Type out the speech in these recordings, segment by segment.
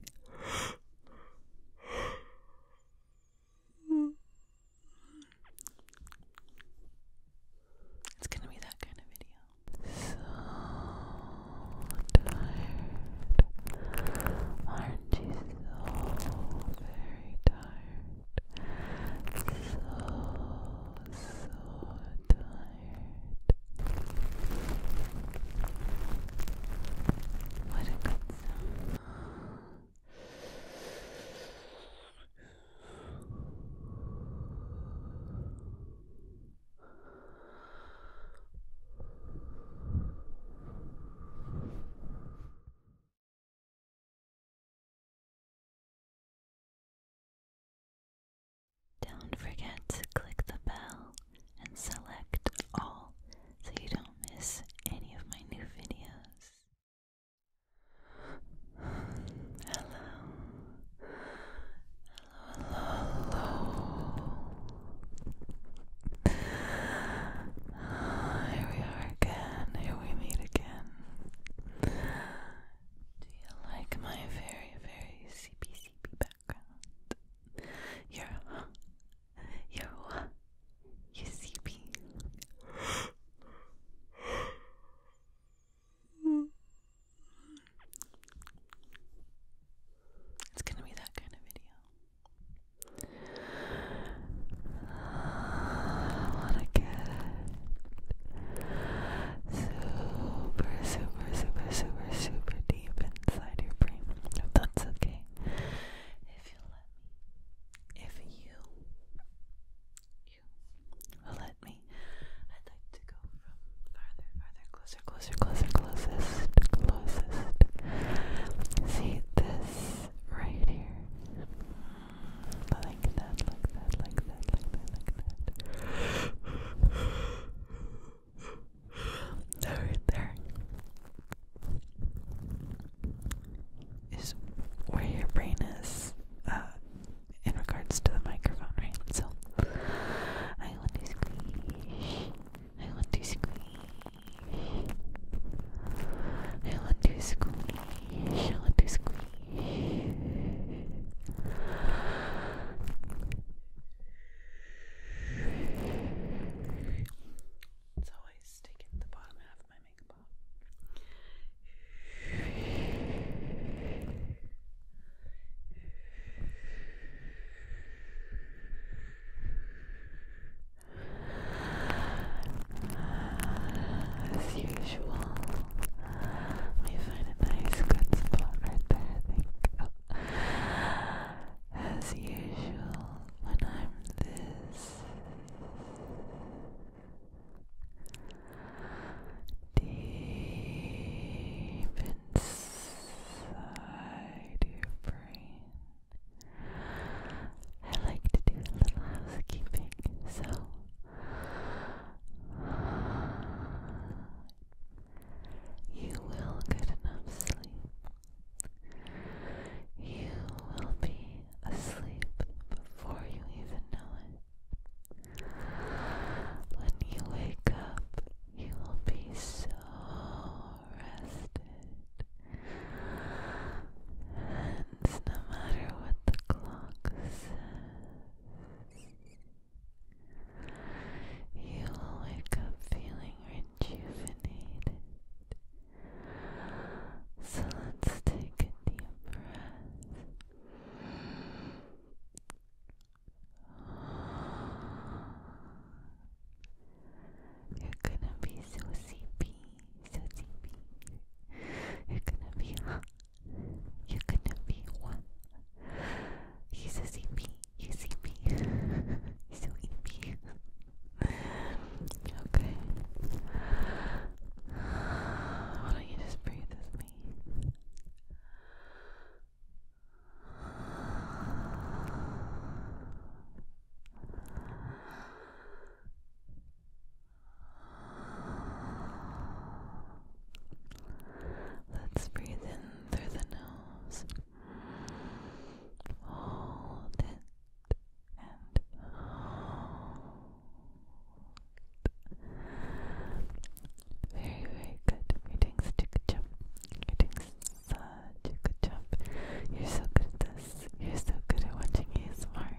It's gonna be that kind of video. So tired. Aren't you so very tired? So, so tired. What a good sound. Don't forget to click the bell and select all so you don't miss any of my new videos. Hello. Hello, hello, here we are again. Here we meet again. Do you like my very, very CP, CP you're, you're You see me? It's gonna be that kind of video. I wanna get super, super, super, super, super deep inside your brain. That's okay. If you let if you, you let me, I'd like to go farther, farther, closer, closer, closer, closest, closest. See this right here. Like that, like that, like that, like that, like that. right there is where your brain is uh, in regards to the microphone, right? So, I want to squeeze. I want to squeeze. I want to squeeze. I want to squeeze. It's always taking the bottom half of my makeup As usual, we find a nice good spot right there, think. Oh, as usual, when I'm this deep inside your brain, I like to do a little housekeeping, so. You will get enough sleep. You will be asleep before you even know it. When you wake up, you will be so rested. And no matter what the clock says, you will wake up feeling rejuvenated. So let's take a deep breath. You're gonna be so sleepy, so sleepy. You're gonna be You're gonna be one. He's a CP. He's CP. He's so EP. okay. Why don't you just breathe with me? Let's breathe in through the nose. Hold it and hold. Very, very good. You're doing such a good job. You're doing such a good job. You're so good at this. You're so good at watching ASMR.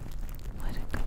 What a good song.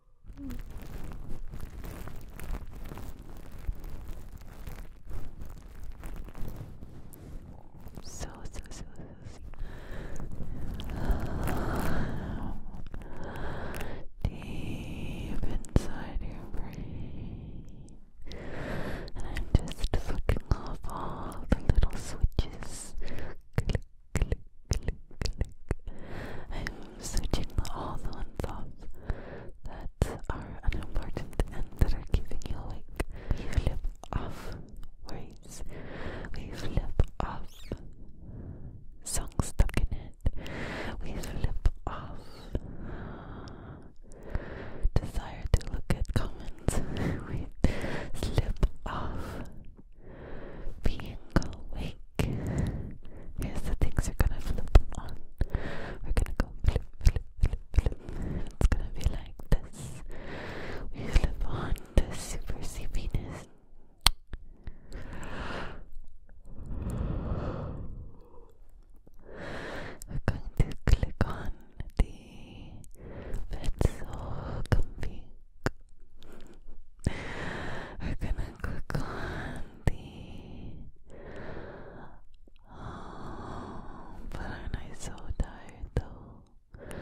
Hmm. So, so, so, so, deep inside your brain, and I'm just flicking off all the little switches. Click, I am searching all the ones that are unimportant and that are keeping you awake. We flip off worries. We flip off songs stuck in it. We flip off desire to look at comments. we slip off being awake. Here's the things we're gonna flip on. We're gonna go It's gonna be like this. We flip on the super sleepiness. We're going to click on the bed so comfy, we're gonna click on the. Oh, but aren't I so tired though?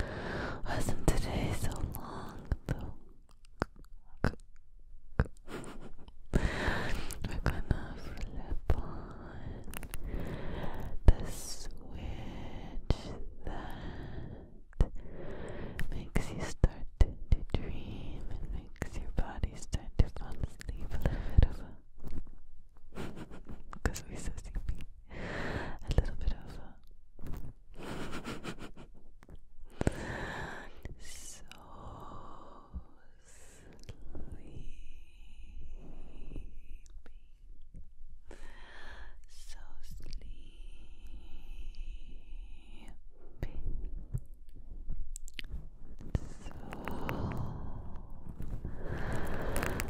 Wasn't today so long though? We're gonna flip on the switch that makes you start to, dream makes your body start to fall asleep a little bit of because we're so sleepy a little bit of so sleepy so sleepy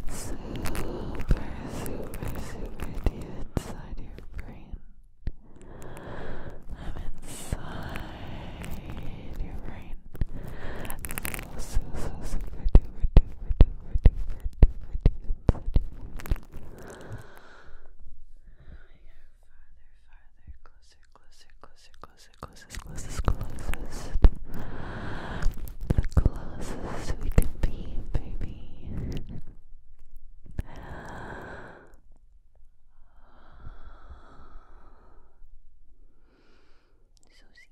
so super, super, super deep inside your brain. I'm inside your brain. So, so, super duper duper duper duper duper deep inside your brain farther, closer, closer, The closest we can be, baby. So sleepy.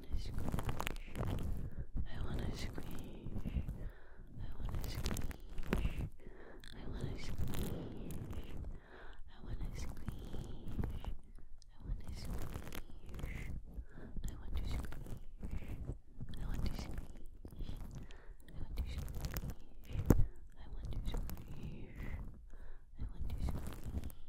wanna squish. I wanna squish. I wanna squish. I wanna squish. I wanna squish. I want to squish. I want to squish. I want to squish. I want to squish. I want to squish. I want to squish.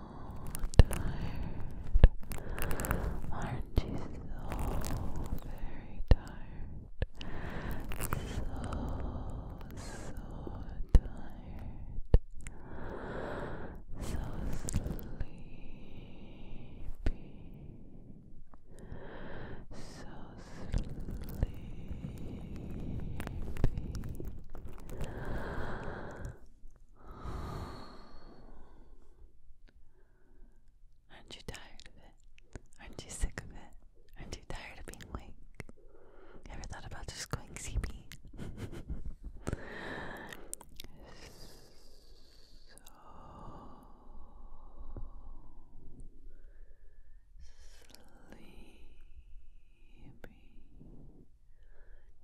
tired? Aren't you so very tired? So, so tired. So sleepy. So sleepy. Aren't you tired of it? Aren't you sick of it? Aren't you tired of being awake? ever thought about just going sleepy? so sleepy.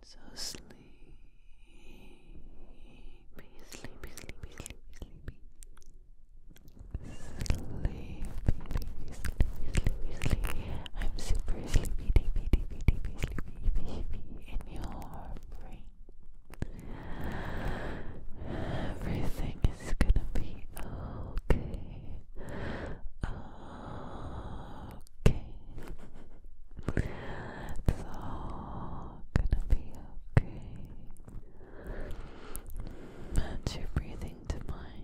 So sleepy, sleepy, sleepy, sleepy, sleepy. Sleepy, baby, sleepy, sleepy, sleepy. I'm super sleepy, deepy, deepy, deepy, sleepy, baby, in your brain. Everything is gonna be okay. Okay. It's all gonna be okay. Match your breathing to mine.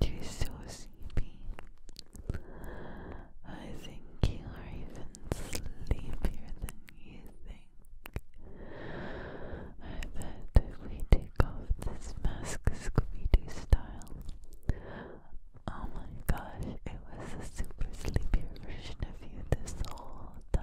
You're so sleepy. I think you are even sleepier than you think. I bet if we take off this mask Scooby Doo style, oh my gosh, it was a super sleepy version of you this whole time.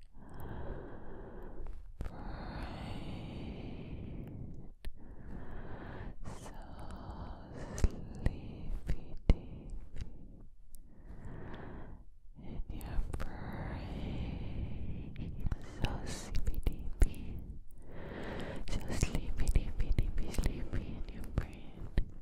brain so sleepy deep in your brain so sleepy deep so sleepy deep deep sleepy in your brain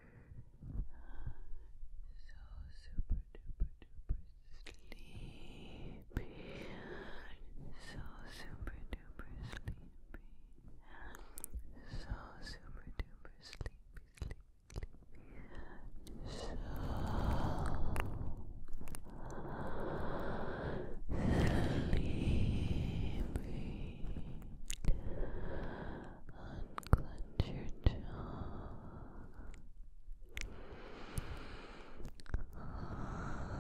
so super duper duper sleepy, so super duper sleepy, so super duper sleepy, sleepy, so sleepy unclench your jaw.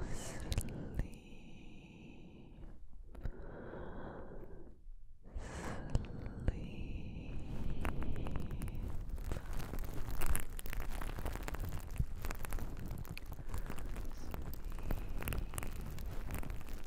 Sleep. Sleep. Sleep.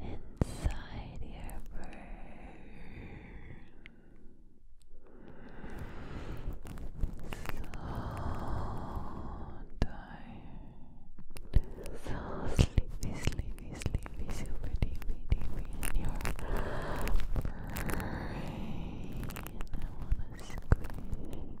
inside your brain. So tired, so sleepy, sleepy, sleepy, super deepy, deepy in your brain. I wanna squish,